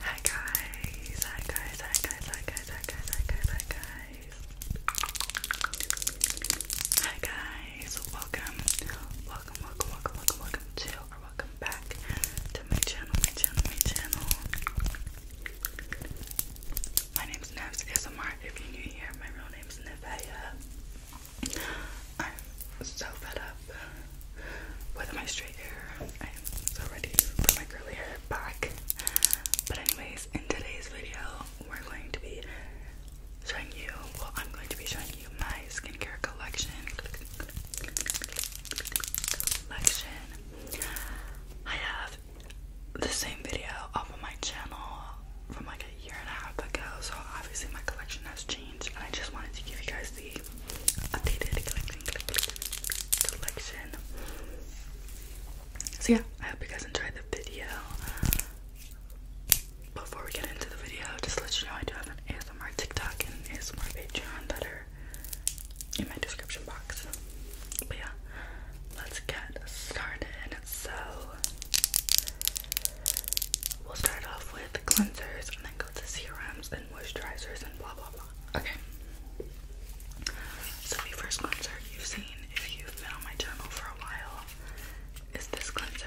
Hi guys, hi guys, hi guys, hi guys, hi guys, hi guys, hi guys. welcome, welcome, welcome, welcome, welcome, welcome to or welcome back to my channel, my channel, my channel. My name's Nevs ASMR. If you're new here, my real name is Nevea. I'm so fed up with my straight hair. I'm so ready to put my curly hair back. But anyways, in today's video, we're going to be showing you, well, I'm going to be showing you my skincare collection. Collection. I have the same video off of my channel from like a year and a half ago, so obviously my collection has changed, and I just wanted to give you guys the updated collection. So yeah, I hope you guys enjoyed the video. Before we get into the video, just let you know I do have an ASMR TikTok and ASMR Patreon that in my description box. But yeah, let's get started. So We'll start off with cleansers and then go to serums and moisturizers and blah blah blah. Okay. So my first cleanser you've seen if you've been on my channel for a while is this cleanser.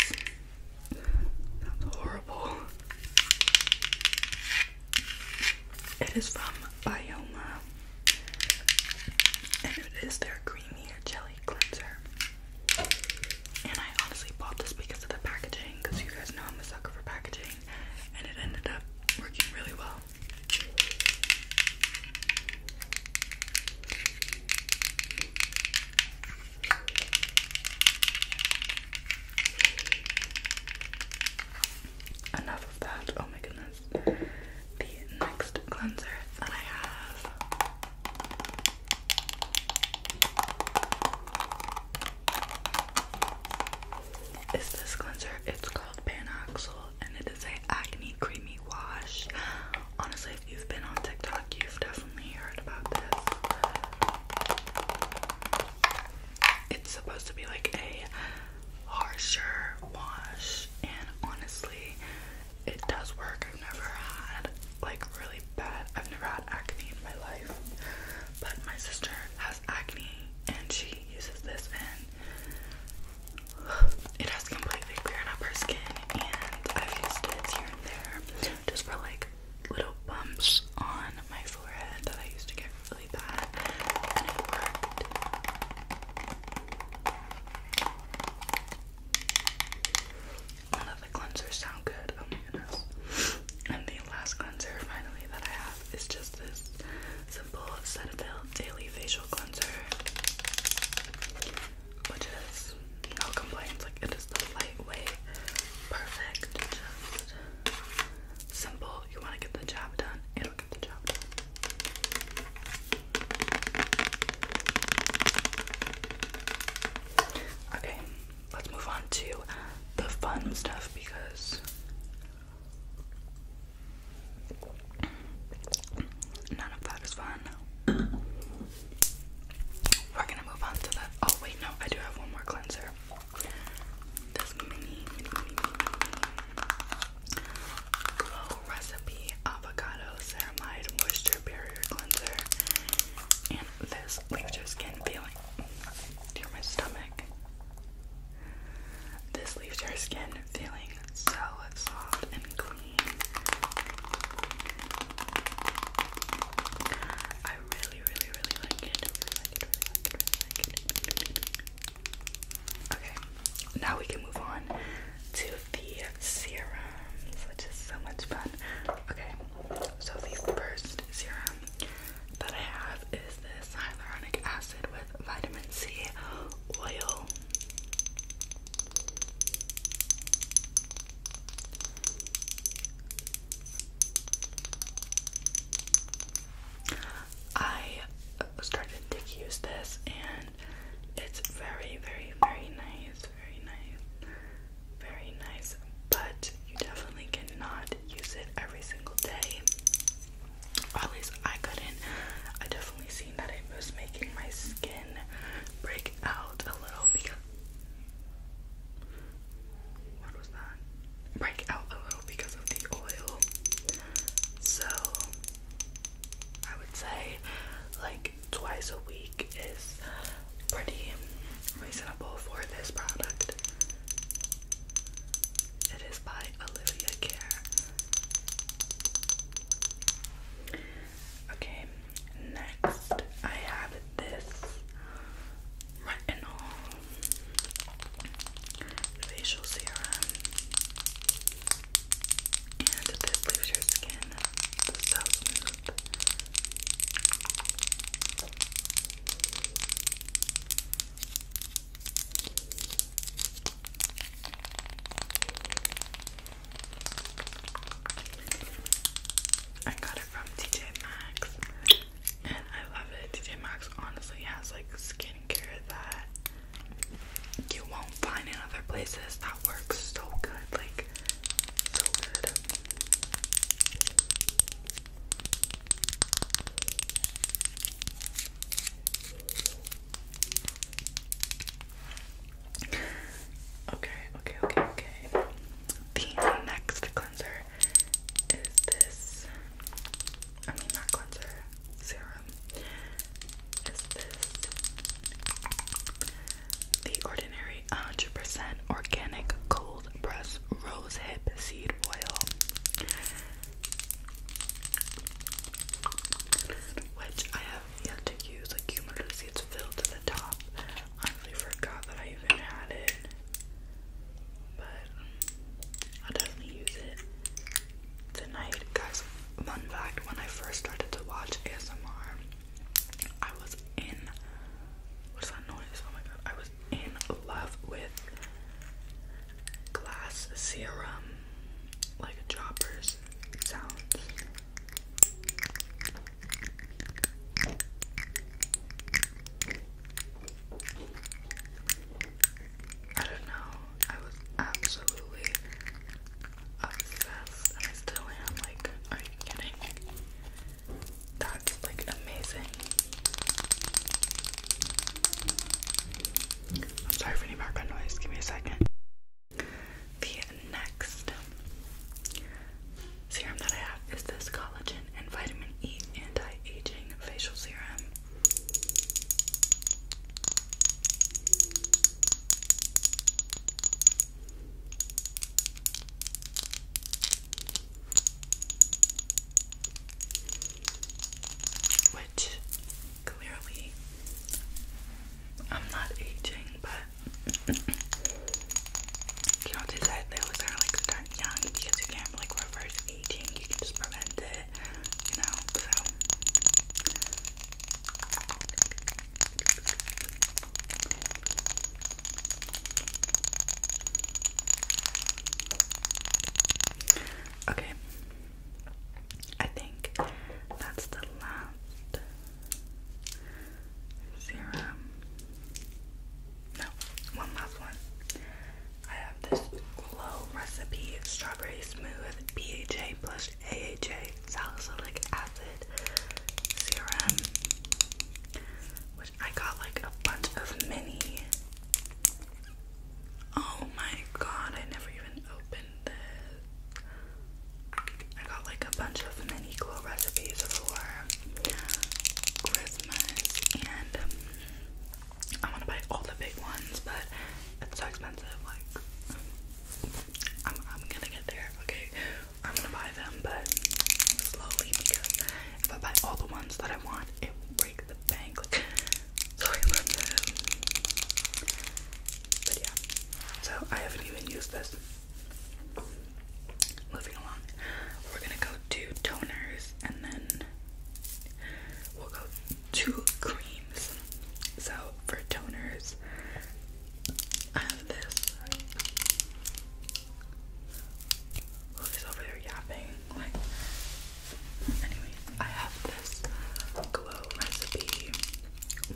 it Sounds horrible. It is from Bioma it is their creamy jelly cleanser. And I honestly bought this because of the packaging, because you guys know I'm a sucker for packaging, and it ended up working really well. Enough of that. Oh my goodness is the next cleanser that I have. Is this cleanser? It's called Panoxyl and it is a acne creamy wash. Honestly, if you've been on TikTok, you've definitely heard about this. It's supposed to be like a harsher wash, and honestly, it does work. I've never had like really bad, I've never had acne in my life, but my sister has acne and she uses this, and it has completely cleared up her skin. And I've used it here and there just for like little bumps on my forehead that I used to get really bad, and it worked. I love the cleansers sound good. Oh my goodness. And the last cleanser finally that I have is just this simple Cetaphil Daily Facial Cleanser. Which is no complaints, like it is the lightweight, perfect, just simple. You want to get the job done, Okay, let's move on to the fun stuff because none of that is fun. We're gonna move on to the. Oh, wait, no, I do have one more cleanser. This mini. Glow Recipe Avocado Ceramide Moisture Barrier Cleanser. And this leaves your skin feeling. Dear my stomach. This leaves your skin feeling so soft and clean. I really, really, really like it. Okay, now we can move on to the serum, which is so much fun. Okay, so the first serum that I have is this hyaluronic acid with vitamin C oil. I started to use this and it's very, very, very nice, very nice, very nice. But you definitely cannot use it every single day. Or at least I couldn't. I definitely seen that it was making my skin break out a little because what was that? Break out a little because of the oil. So I would say like twice a week is pretty reasonable for this product. It is by Olivia Care. Okay, next I have this retinol facial serum. And this leaves your skin so smooth. I got it from TJ Maxx and I love it. TJ Maxx honestly has like skin that you won't find in other places that works so good, like so good. Okay, okay, okay, okay. The next cleanser is this. I mean, not cleanser serum is this the ordinary 100% organic cold press rose hip seed oil which I have yet to use like you it's filled to the top honestly forgot that I even had it but i definitely use it tonight, guys. Fun fact: When I first started to watch ASMR, I was in what's that noise? Oh my god! I was in love with glass serum, like droppers sounds. I don't know. I was absolutely obsessed, I still am. Like, are you kidding? That's like amazing. I'm sorry for any background noise. Give me a second. The next serum that I have is this collagen and vitamin E anti-aging facial serum. Which clearly I'm not aging, but you don't decide that was kind of like young because you can't like reverse aging, you can just prevent it, you know. So Okay, I think that's the last serum. No, one last one. I have this glow recipe strawberry smooth PHA plus AHA, salicylic acid serum, which I got like a bunch of mini. Oh my god, I never even opened this. I got like a bunch of mini glow recipes for Christmas, and um, I want to buy all the big ones, but it's so expensive. Like, I'm, gonna get there, okay? I'm gonna buy them, but slowly because if I buy all the ones that I want, it will break the bank. Like, sorry about that. But yeah, so I haven't even used this. Moving along, we're gonna go to toners and then we'll go to cream. So for toners, I have this. Who's over there yapping? anyway, I have this Glow Recipe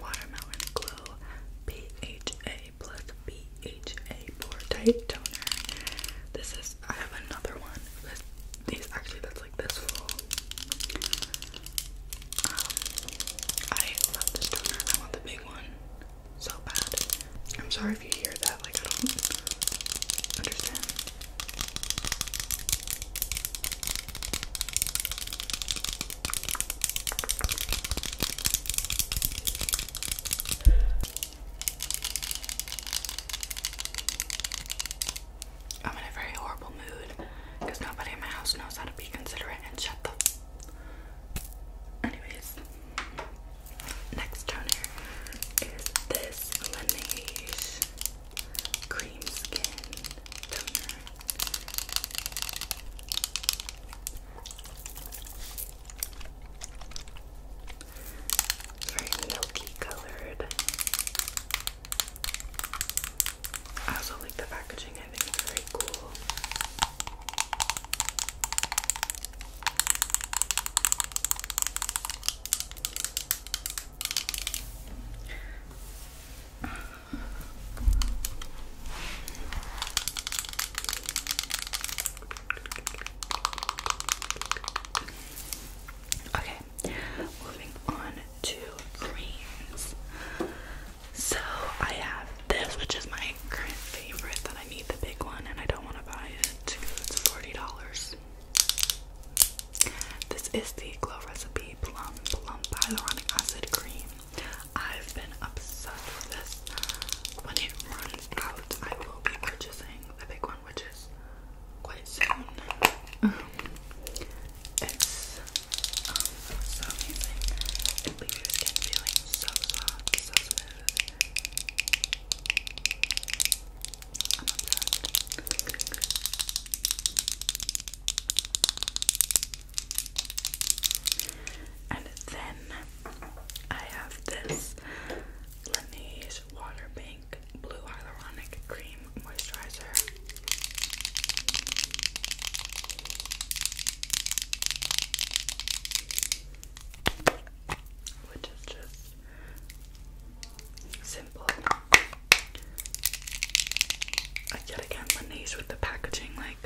Watermelon Glow PHA plus BHA Pore Type Toner. This is, I have another one. This, actually, that's like um, I love this toner. I want the big one so bad. I'm sorry if you hear that. Like I don't understand. I'm in a very horrible mood because nobody in my house knows how to be considerate and shut the. Anyways, next toner is this Laneige Cream Skin very milky colored. I also like the packaging, I think it's very cool. Okay, moving on to creams. So I have this, which is my current favorite that I need the big one and I don't want to buy it. It's $40. This is the Glow Recipe Plum Plump Hyaluronic Acid Cream. I've been obsessed with this. When it runs out, I will be purchasing the big one, which is quite soon. It's um, so amazing. leaves your skin feeling so soft, so smooth. And then I have this Laneige Water Bank Blue Hyaluronic Cream moisturizer. Which is just simple. I yet again Laneige with the packaging, like,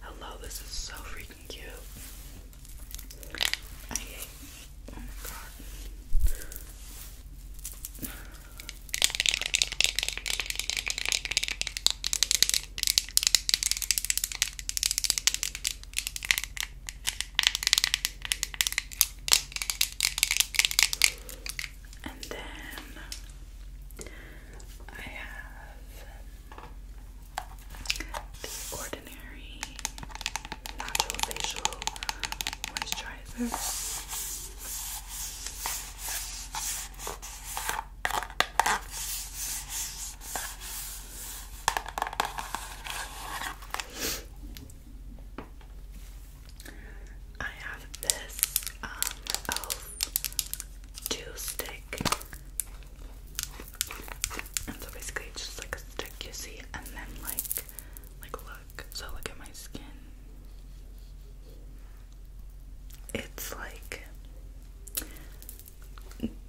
hello, this is so freaking cute. And then I have the Ordinary Natural Facial Moisturizer. I have this um elf dew stick. And so basically it's just like a stick you see and then like like look. So look at my skin it's like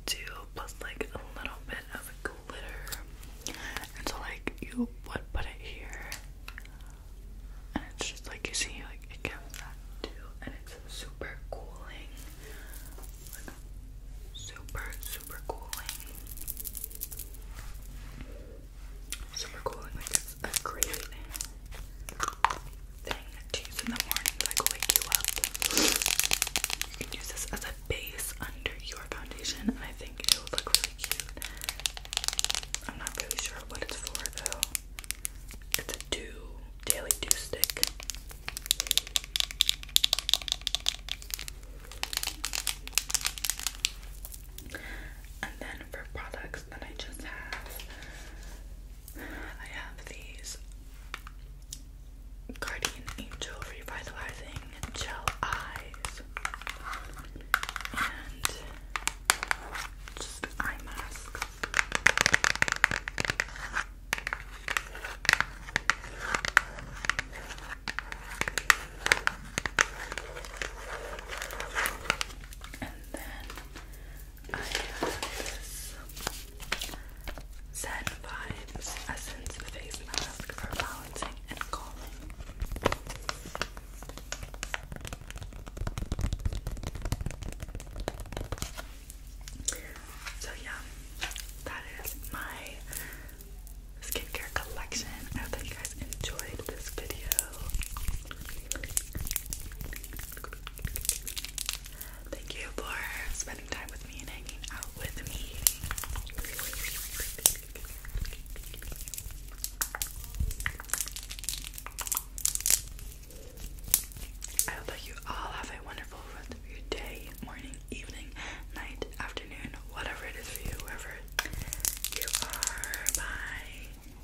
two plus like a little bit of glitter. And so like you would put it here and it's just like you see like it comes back too and it's super cooling. Like super super cooling. So we like it's a great thing to in the morning, like wake you up. You can use this as a base under your foundation, and I think it would look really cute. I'm not really sure what it's for though. It's a do daily do stick. And then for products, box and I just have I have these Guardian Angel Revitalizing Gel Eyes and just eye masks. And then I have this Zen Vibes Essence Face Mask for balancing and calming. So yeah, that is my skincare collection. I hope that you guys enjoyed this video. Thank you for spending time with me and hanging out with me. I hope that you all have a wonderful day, morning, evening, night, afternoon, whatever it is for you, wherever you are. Bye.